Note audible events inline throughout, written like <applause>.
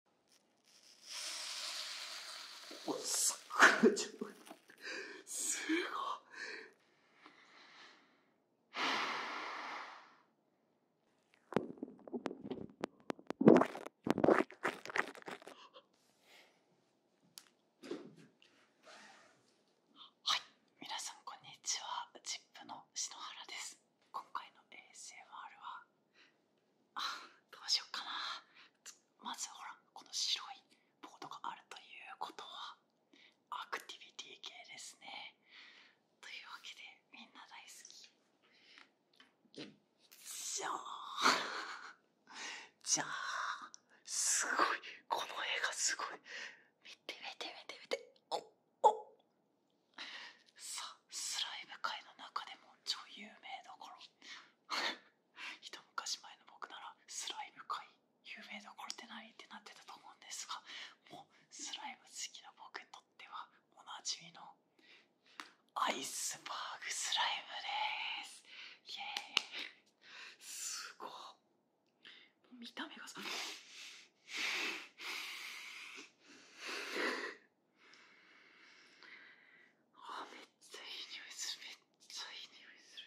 すごい。すごい。はい、皆さんこんにちは。チップの篠原です。今回の ASMR はどうしよっかなまずほらこの白いボードがあるということはアクティビティ系ですねというわけでみんな大好きじゃあじゃあすごいこの絵がすごい見て見て見て見ておおさスライム界の中でも超有名どころ <laughs> 一昔前の僕ならスライム界有名どころって何ってなってたと思うんですがスライム好きな僕にとってはおなじみのアイスバーグスライムですイエーイすごい見た目がさあめっちゃいい匂いするめっちゃいい匂いす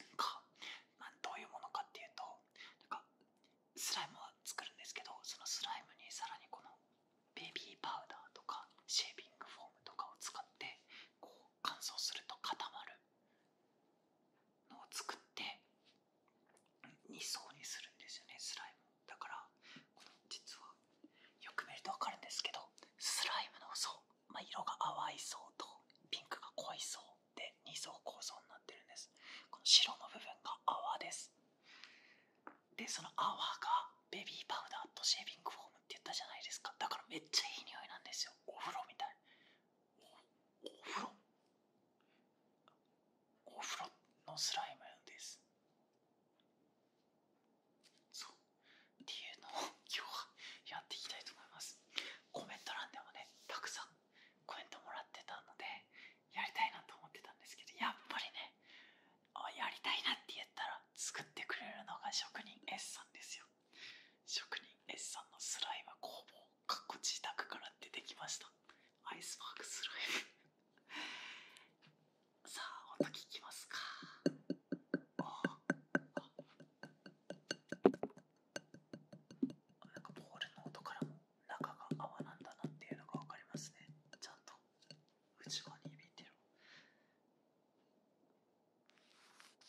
るか、まあ、どういうものかっていうとなんかスライムは作るんですけどそのスライムにさらにこのベビーパウダーとかシェービングフォームとかを使ってこう乾燥すると固まるのを作って2層にするんですよねスライムだからこの実はよく見るとわかるんですけどスライムの層、ま色が淡い層とピンクが濃い層で2層構造になってるんですこの白の部分が泡ですでその泡がベビーパウダーとシェービングフォームって言ったじゃないですかだからめっちゃいい匂いなんですよお風呂みたいお風呂お風呂のスライムですっていうのを今日はやっていきたいと思いますコメント欄でもねたくさんコメントもらってたのでやりたいなと思ってたんですけどやっぱりねやりたいなって言ったら作ってくれるのが職人 S さんですよ職人 S さんのスライムは工房かっこ自宅から出てきましたアイスパークスライム <laughs> さあ音聞きますかああなんかボールの音からも中が泡なんだなっていうのがわかりますねちゃんと内側に響いてる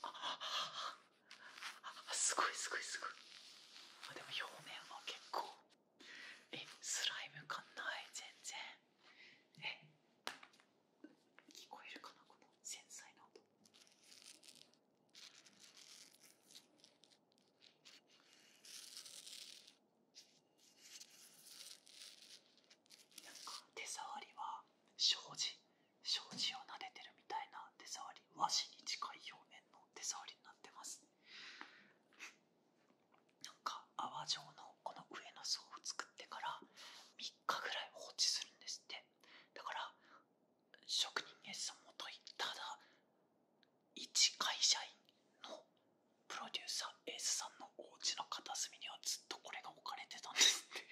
ああすごいすごいすごいあでも表面は結構えスライム感ない全然え聞こえるかなこの繊細な音なんか手触りは障子障子を撫でてるみたいな手触り和紙に近い表面の手触りになってますなんか泡状のこの上の層を作ってから3日ぐらい放置するんですってだから職人エ芸術もといただ一会社員のプロデューサーエースさんのお家の片隅にはずっとこれが置かれてたんですって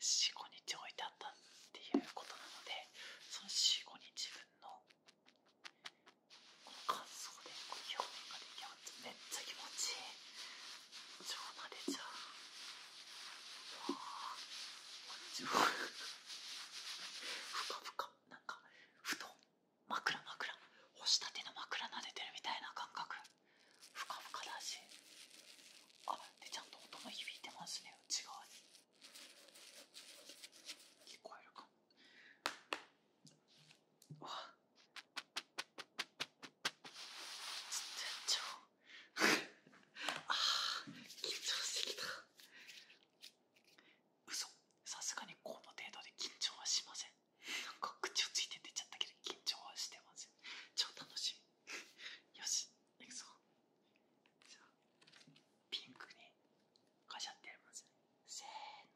45日置いてあったっていうことなのでその45日分のこの乾でこう表面が出来上がめっちゃ気持ちいい超慣でちゃうわあふかふかなんかふと、枕枕干したての枕撫でてるみたいな感覚ふかふかだしあでちゃんと音も響いてますね内側に聞こえるかうわっ <laughs> あ緊張すぎきた嘘さすがにこの程度で緊張はしませんなんか口をついて出ちゃったけど緊張はしてます超楽しみよしいくぞピンクにガシャってますせー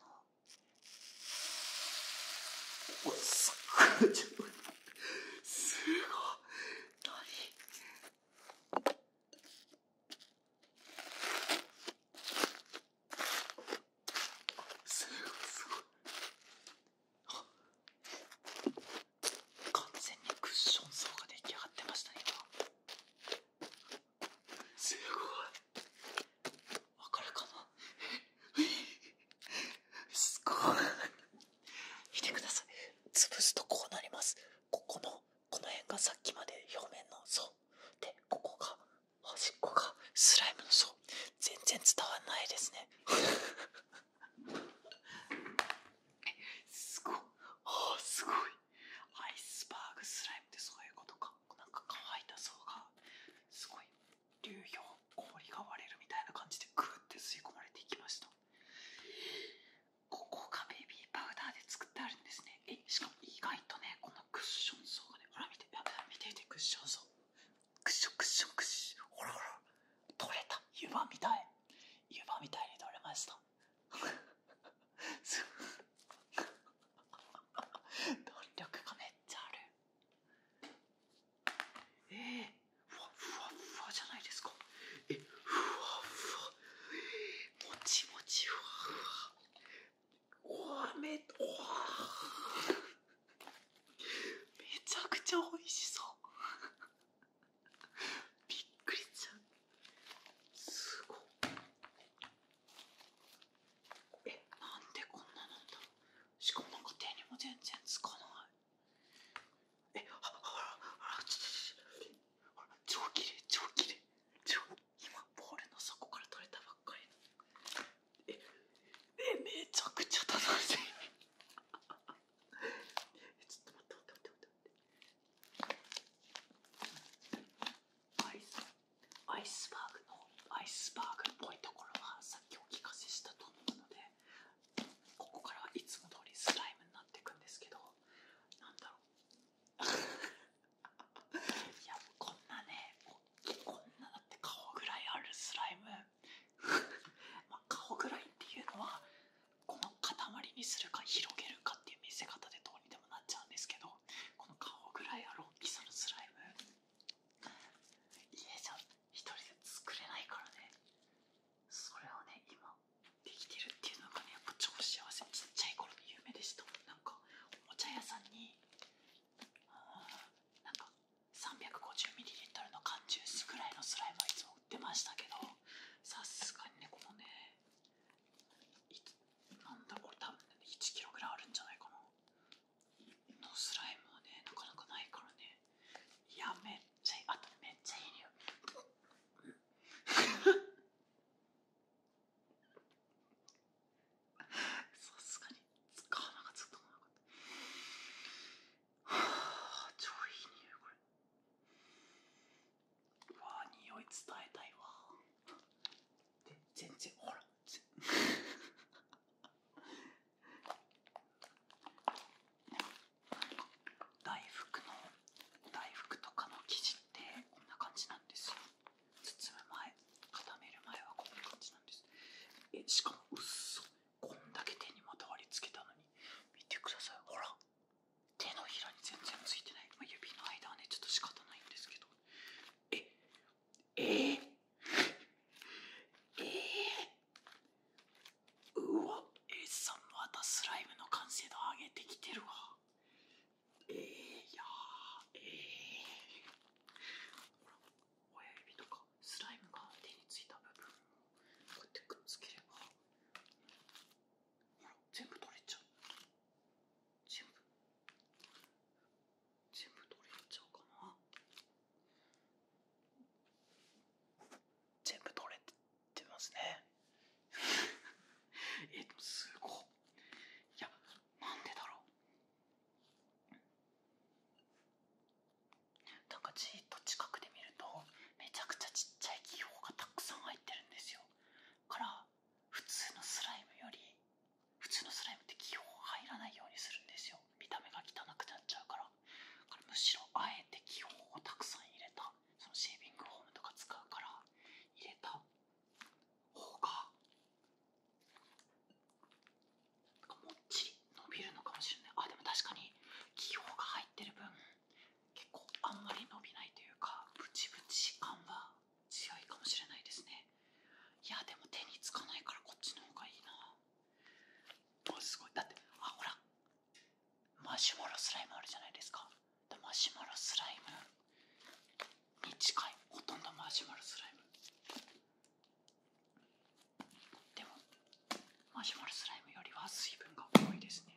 のおっすごいすごい何すごいすごい完全にクッション層が出来上がってましたねすごいわかるかな <laughs> すごい見てください潰すとこうなりますここのこの辺がさっきまで表面の層でここが端っこがスライムの層全然伝わらないですねすごいアイスバーグスライムってそういうことかなんか乾いた層がすごい流氷氷が割れるみたいな感じでグーって吸い込まれていきましたここがベビーパウダーで作ってあるんですねえしかも意外とねこのクッション層がねほら見ててクッション層クシュクシュクシュほらほら取れた湯葉みたい湯葉みたいに取れました <laughs> 弾力がめっちゃあるえー、ふわふわふわじゃないですかえふわふわもちもちふわふわおわめおわめちゃくちゃ美味しそうびっくりしちゃうすごっえなんでこんななんだしかも手にも全然つかないえあああちょちょちょ超綺麗超綺麗超今ボールの底から取れたばっかりの。えめちゃくちゃ <laughs> アイスバーグのアイスバーグっぽいところはさっきお聞かせしたと思うのでここからいつも通りスライムになっていくんですけどなんだろう <laughs> いやこんなねうこんなだって顔ぐらいあるスライム <laughs> まあ顔ぐらいっていうのはこの塊にするか広げるかっていう見せ方でどうにでもなっちゃうんですけどこの顔ぐらいある大きさのスライム家じゃ一人で作れないからねそれをね今できてるっていうのがねやっぱ超幸せちっちゃい頃の夢でしたなんかおもちゃ屋さんになんか 350ml の缶ジュースぐらいのスライムはいつも売ってましたけどさすがにねこのねなんだこれ多分、1kg ぐらいあるんじゃないかなのスライムはねなかなかないからねいやめっちゃいあとめっちゃいい匂いさすがに使かっなかったはあ超いい匂いこれうわ匂い伝えたいわで全然ほら大福の大福とかの生地ってこんな感じなんですよ包む前固める前はこんな感じなんですえしかもうっそこんだけ手にまとわりつけたのに見てくださいほら手のひらに全然ついてない、指の間はねちょっと仕方ないんですけどええー、えー、うわ S さんまたスライムの完成度上げてきてるわえー、いやえ親指とかスライムが手についた部分をこうやってくっつければほら全部取れちゃう全部全部取れちゃうかな全部取れてますねえっすごいいやなんでだろうなんかじっと近くで見るとめちゃくちゃちっちゃい気泡がたくさん入ってるんですよから普通のスライムより普通のスライムって気泡入らないようにするんですよ見た目が汚くなっちゃうからからむしろあえて気泡をたくさん入れたそのシェービングフォームとか使うから入れた方がもっちり伸びるのかもしれないあでも確かに気泡が入ってる分結構あんまり伸びないというかブチブチ感は強いかもしれないですねいやでも手につかないからこっちの方がいいなあすごいだってあほらマシュマロスライムあるじゃないですかマシュマロスライムに近いほとんどマシュマロスライムでもマシュマロスライムよりは水分が多いですね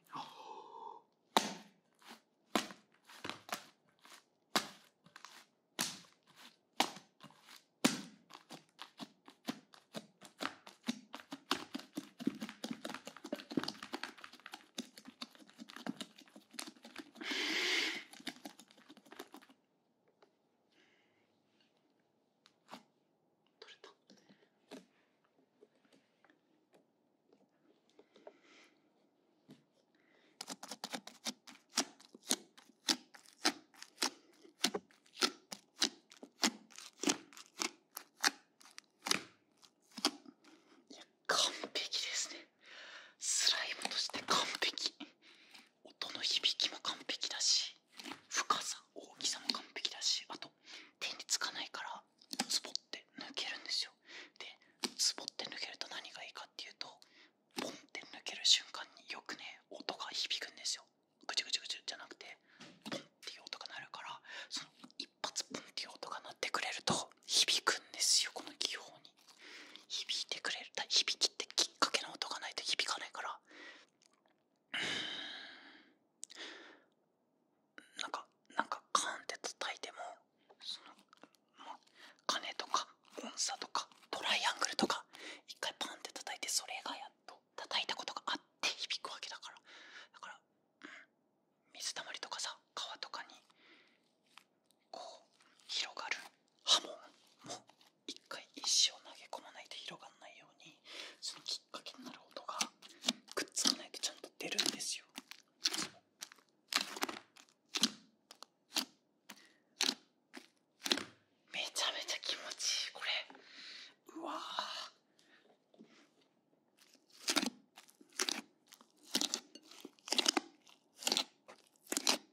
取れたいや完璧ですねスライムとして完璧音の響きも完璧だし深さ大きさも完璧だしあと手につかないからスポって抜けるんですよでスポって抜けると何がいいかっていうとポンって抜ける瞬間によくね音が響くんですよぐちゅぐちゅぐちゅじゃなくてポンっていう音が鳴るからその一発ポンっていう音が鳴ってくれると響くんですよこの気泡に響いてくれる響きってきっかけの音がないと響かないからなんかなんかカーンって叩いてもそのまとか音叉とかトライアングルとか一回パンって叩いてそれがやっと叩いたことがあって響くわけだからだから、水たまりとかさ川とかにこう広がる波紋も一回石を投げ込まないと広がらないようにそのきっかけになる音がくっつかないとちゃんと出るんですよ。めちゃめちゃ気持ちいいこれうわー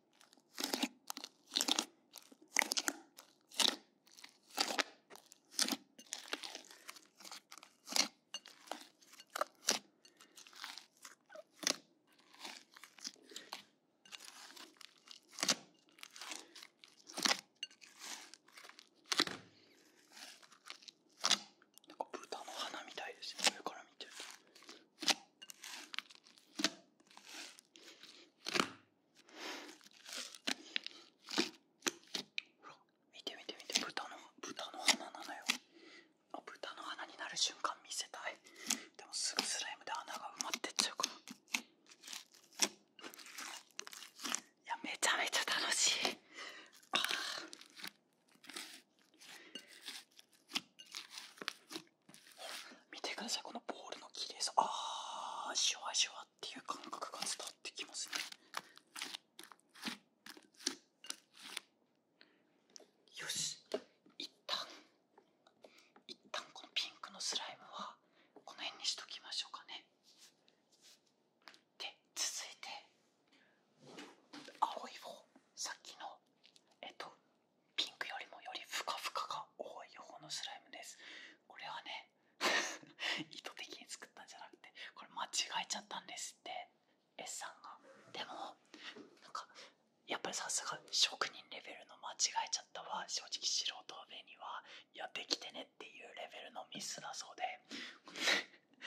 なんか豚の花みたいですね上から見てると。ほら見て見て見て豚の豚の花なのよあ豚の花になる瞬間見せたいでもすぐスライムで穴が埋まってっちゃうからいやめちゃめちゃ楽しいああ見てくださいこのボールの綺麗さああシュワシュワっていう感覚が伝わってきますねよし一旦一旦このピンクのスライムはこの辺にしときましょうかねで続いて青い方さっきのえっとピンクよりもよりふかふかが多いこのスライムですこれはね <laughs> 意図的に作ったんじゃなくてこれ間違えちゃったんですって S さんがでもやっぱりさすが職人レベルの間違えちゃったわ、正直素人上にはいやできてねっていうレベルのミスだそうで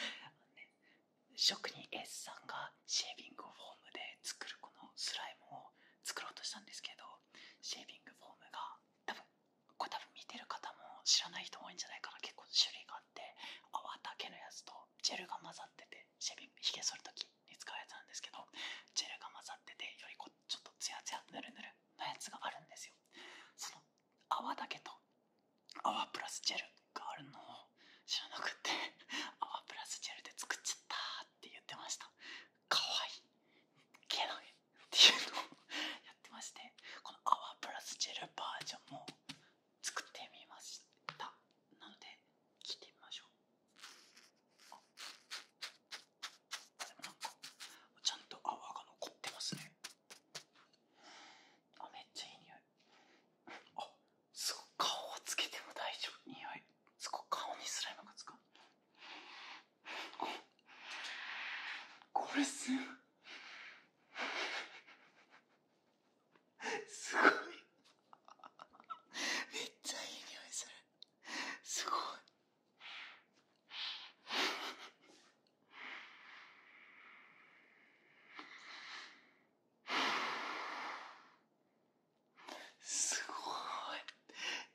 <laughs> 職人 S さんがシェービングフォームで作るこのスライムを作ろうとしたんですけどシェービングフォームが多分これ多分見てる方も知らない人多いんじゃないかな結構種類があって泡だけのやつとジェルが混ざっててシェービングひげそる時に使うやつなんですけどジェルが混ざっててよりこちょっとツヤツヤヌルヌルのやつがあるんですよその泡だけと泡プラスジェルがあるのを知らなくって泡プラスジェルで作っちゃったって言ってましたかわいいけなげっていうのをやってましてこの泡プラスジェルバージョンも作ってみましたなので聞いてみましょうあでもなんかちゃんと泡が残ってますねあめっちゃいい匂いあすご顔をつけても大丈夫匂いすごく顔にスライムがつかこれすごいめっちゃいい匂いするすごいあすごい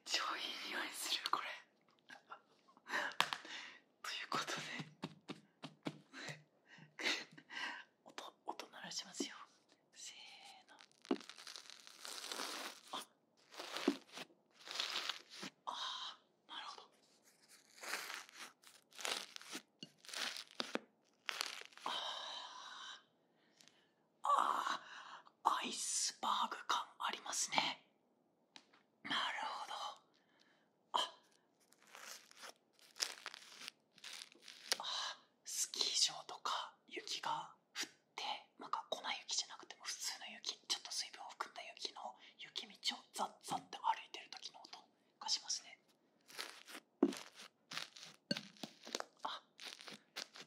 超いい匂いするこれ <laughs> ということで音音鳴らしますよせーのああなるほどああああ、アイスバーグ感ありますね。なるほど。あ、あ、スキー場とか雪が降って、なんか粉雪じゃなくても普通の雪、ちょっと水分を含んだ雪の雪道をザッザッって歩いてる時の音がしますね。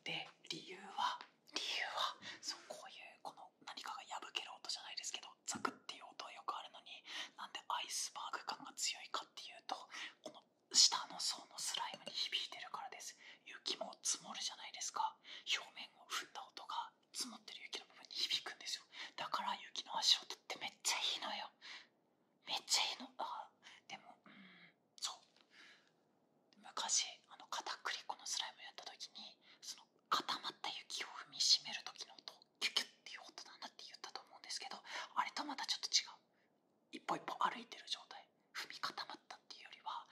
で理由は理由はそうこういうこの何かが破ける音じゃないですけどザクっていう音はよくあるのになんでアイスバーグ感が強いかっていうとこの下の層のスライムに響いてるからです雪も積もるじゃないですか表面を振った音が積もってる雪の部分に響くんですよだから雪の足音ってめっちゃいいのよめっちゃいいのあでもうんそう昔あの片栗粉のスライムやった時にその固まった雪を踏みしめる時の音キュキュっていう音だなって言ったと思うんですけどあれとまたちょっと違う一歩一歩歩いてる状態踏み固まったっていうよりは、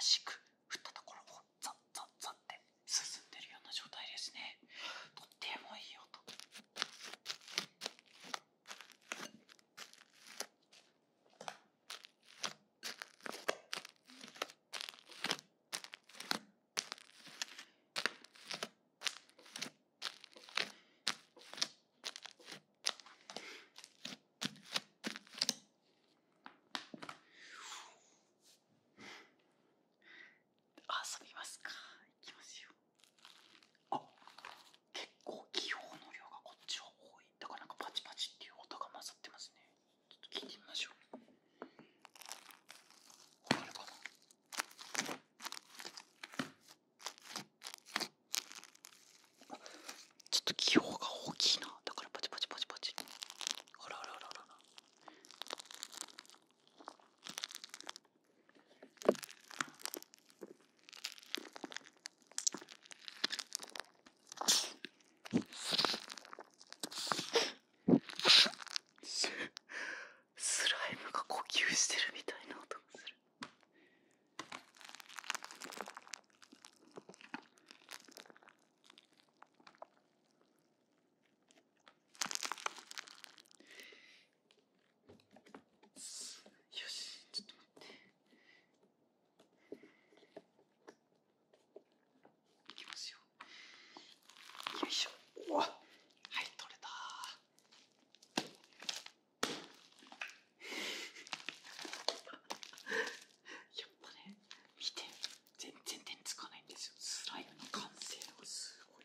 新しく振ったところをザッザッザッって進んでるような状態ですねとってもいい音遊びますかいきますよ。あ結構気泡の量がこっちは多いだからなんかパチパチっていう音が混ざってますねちょっと聞いてみましょうわかるかなちょっと気泡が大きいなだからパチパチパチパチあらあらあらあらスライムが呼吸してるみたいな音がする。よしちょっと待っていきますよよいしょおはい取れた <laughs> やっぱね見て全然点つかないんですよスライムの完成度がすごい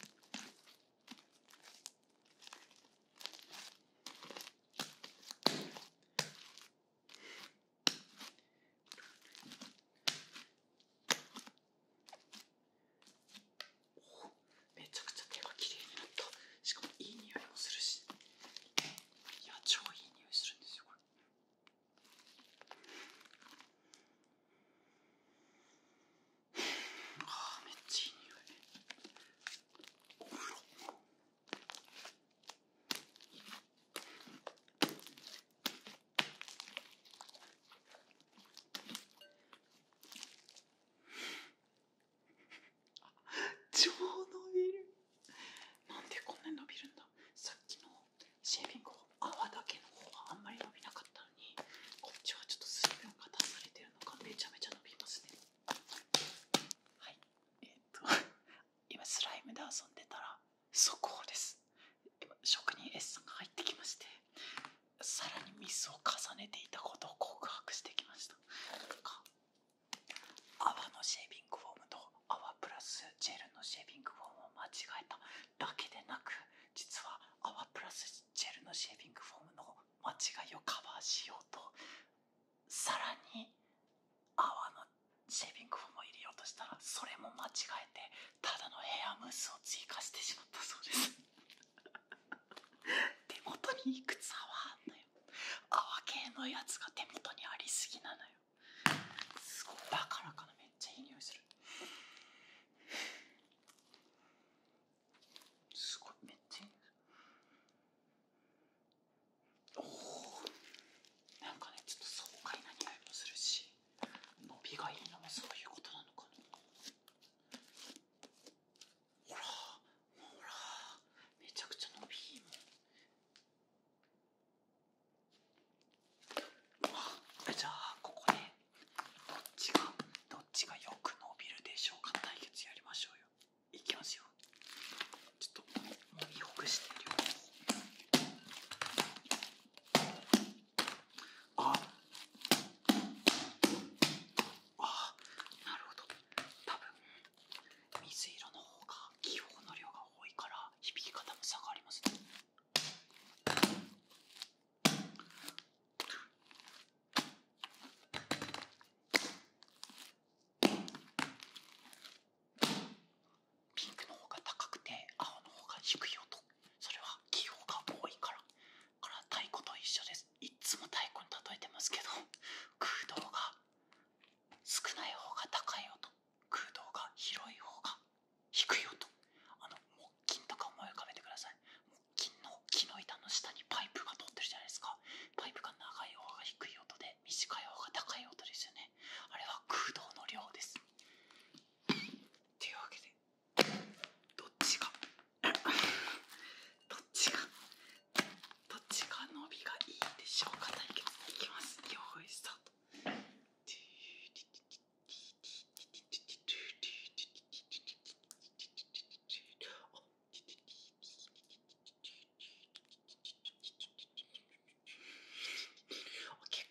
めちゃくちゃ手がきれいになったしかもいい匂いもするしいや超いい匂いするんですよこれあーめっちゃいい匂いお風呂あ超伸るなんでこんなに伸びるんださっきのシェービング泡だけの方はあんまり伸びなかったにこっちはちょっと水分が出されてるのがめちゃめちゃ伸びますねはいえっと <laughs> 今スライムで遊んでたら速報です今職人 S さんが入ってきましてさらにミスを重ねていたことを告白してきました泡のシェービングフォームと泡プラスジェルのシェービングフォームを間違えただけでなく実は泡プラスジェルのシェービングフォームの間違いをカバーしようとさらに泡のシェービングフォームを入れようとしたらそれも間違えてただのヘアムースを追加してしまったそうです <laughs> 手元にいくつ泡あんのよ泡系のやつが手元にありすぎなのよすごいだからかなめっちゃいい匂いするすごいめっちゃいいおおなんかねちょっと爽快な匂いもするし伸びがいいのもそういうことなのかなほらほらめちゃくちゃ伸びいいもんじゃあここでどっちがどっちがよく伸びるでしょうか対決やりましょうよいきますよちょっともみしてるよああなるほど多分水色の方が気泡の量が多いから響き方も差がありますねピンクの方が高くて青の方が低い音それは気泡が多いからこれは太鼓と一緒ですいつも太鼓に例えてますけど空洞が少ない方が高い音空洞が広い方が低い音あの木琴とか思い浮かべてください木の木の板の下にパイプが通ってるじゃないですかパイプが長い方が低い音で短い方が高い音ですよねあれは空洞の量ですというわけでどっちが <coughs> どっちがどっちが伸びがいいでしょうかいきますよいスタート結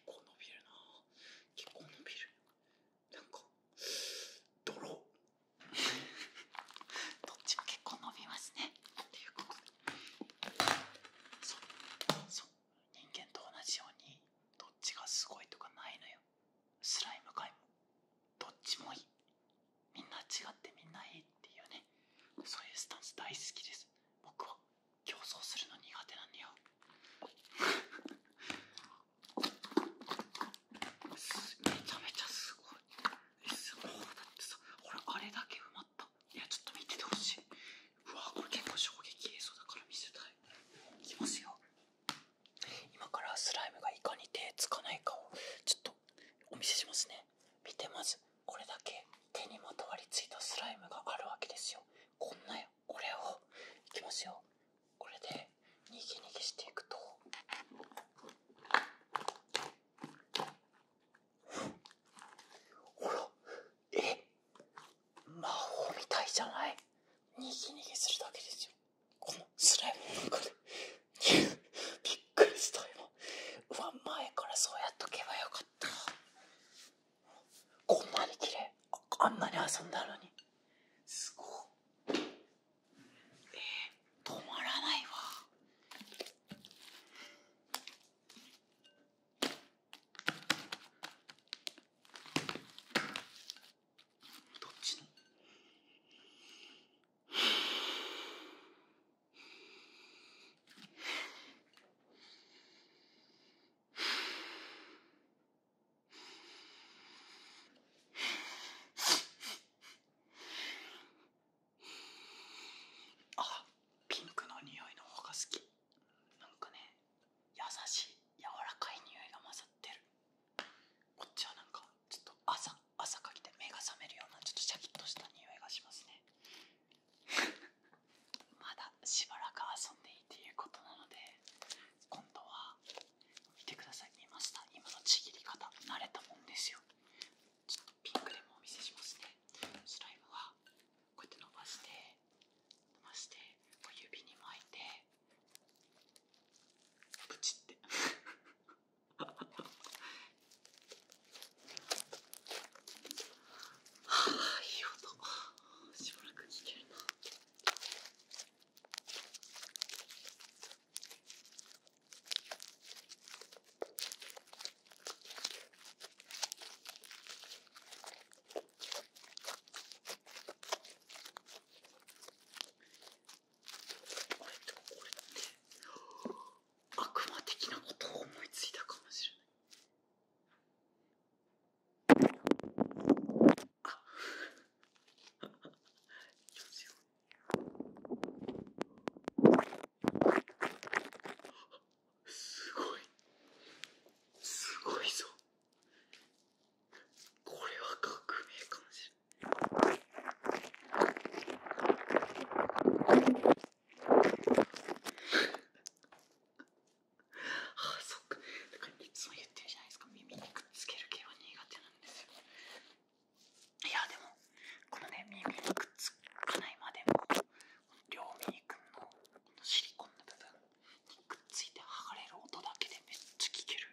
構伸びるな結構伸びるなんか泥 <laughs> どっちも結構伸びますねっていうことそうそう人間と同じようにどっちがすごいとかないのよスライム界もどっちもいいみんな違ってみんないいっていうねそういうスタンス大好きです僕は競争するの苦手なんだよめちゃめちゃすごいもうだってさ俺あれだけ埋まったいやちょっと見ててほしいうわこれ結構衝撃映像だから見せたいいきますよ今からスライムがいかに手つかないかをちょっとお見せしますね見てまずこれだけ手にまとわりついたスライムがあるわけですよこんなよこれをいきますよこれでにぎにぎしていくとほらえ魔法みたいじゃないにぎにぎするだけですよこのスライムなんかでびっくりした今うわ前からそうやっとけばよかったこんなに綺麗ああんなに遊んだのにすごいえ止まらないわどっちのあピンクの匂いの方が好きなんかね優しい柔らかい匂いが混ざってるこっちはなんかちょっと朝朝かけて目が覚めるようなちょっとシャキッとした匂いがしますねまだしばらく遊んでいいっていうことなので今度は見てください見ました今のちぎり方慣れたもんですよちょっとピンクでもお見せしますねスライムはこうやって伸ばして伸ばしてこ指に巻いてプチってはあいい音しばらく聞けるなこれってこれって悪魔的なことを思いついたかもしれないあよしよすごいすごいぞこれは革命かもしれないあそっかいつも言ってるじゃないですか耳にくっつける系は苦手なんですよいやでもこのね耳にくっつかないまでも両耳くんのこのシリコンの部分にくっついて剥がれる音だけでめっちゃ聞ける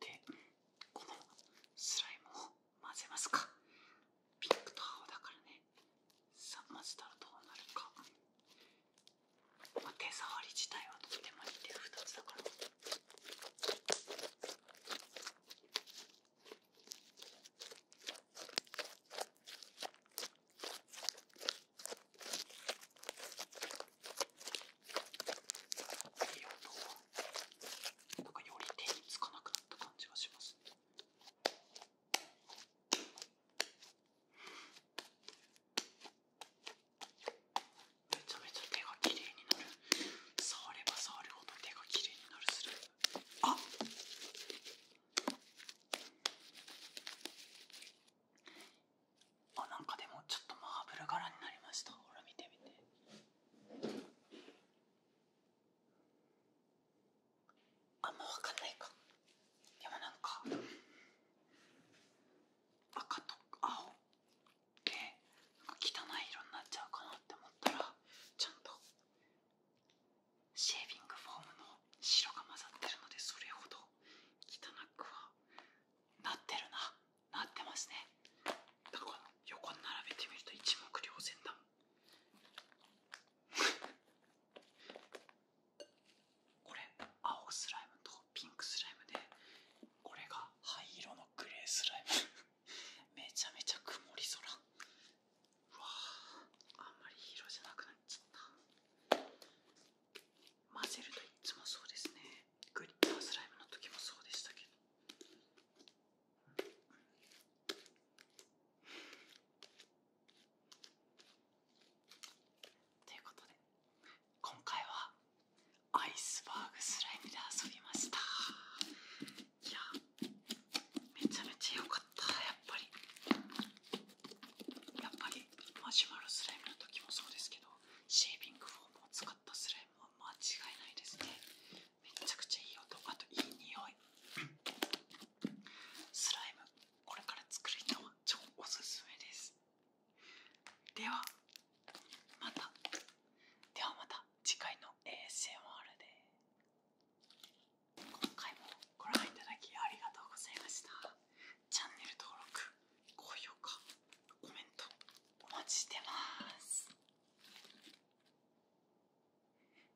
でこのスライムを混ぜますかピンクと青だからねさあマスターどうなるか、まあ、手触り自体はとても似てる2つだからいい音はなんかより手につかなくなった感じがしますね。めちゃめちゃ手がきれいになる触れば触るほど手がきれいになるする。あっあなんかでもちょっとマーブル柄になりましたほら見てみてあんま分かんないかでもなんか赤と青でな汚い色になっちゃうかなって思ったらちゃんとシェービングフォームの白が混ざってるのでそれほど汚くはなってるななってますねだから横並べてみると一目瞭然だこれ青スライムとピンクスライムでこれが灰色のグレースライム <laughs> めちゃめちゃ曇り空うわあんまり色じゃなくなっちゃった混ぜるといつもそうですねグリッタースライムの時もそうでしたけどということで今回はアイスバーグスライムで遊びましたいやめちゃめちゃ良かったやっぱりやっぱりマシュマロスライムの時もそうですけどシェービングフォームを使ったスライムは間違いないですねめちゃくちゃいい音あといい匂いスライムこれから作る人は超おすすめですではまたではまた次回の ASMR で今回もご覧いただきありがとうございましたチャンネル登録高評価コメントお待ちしてます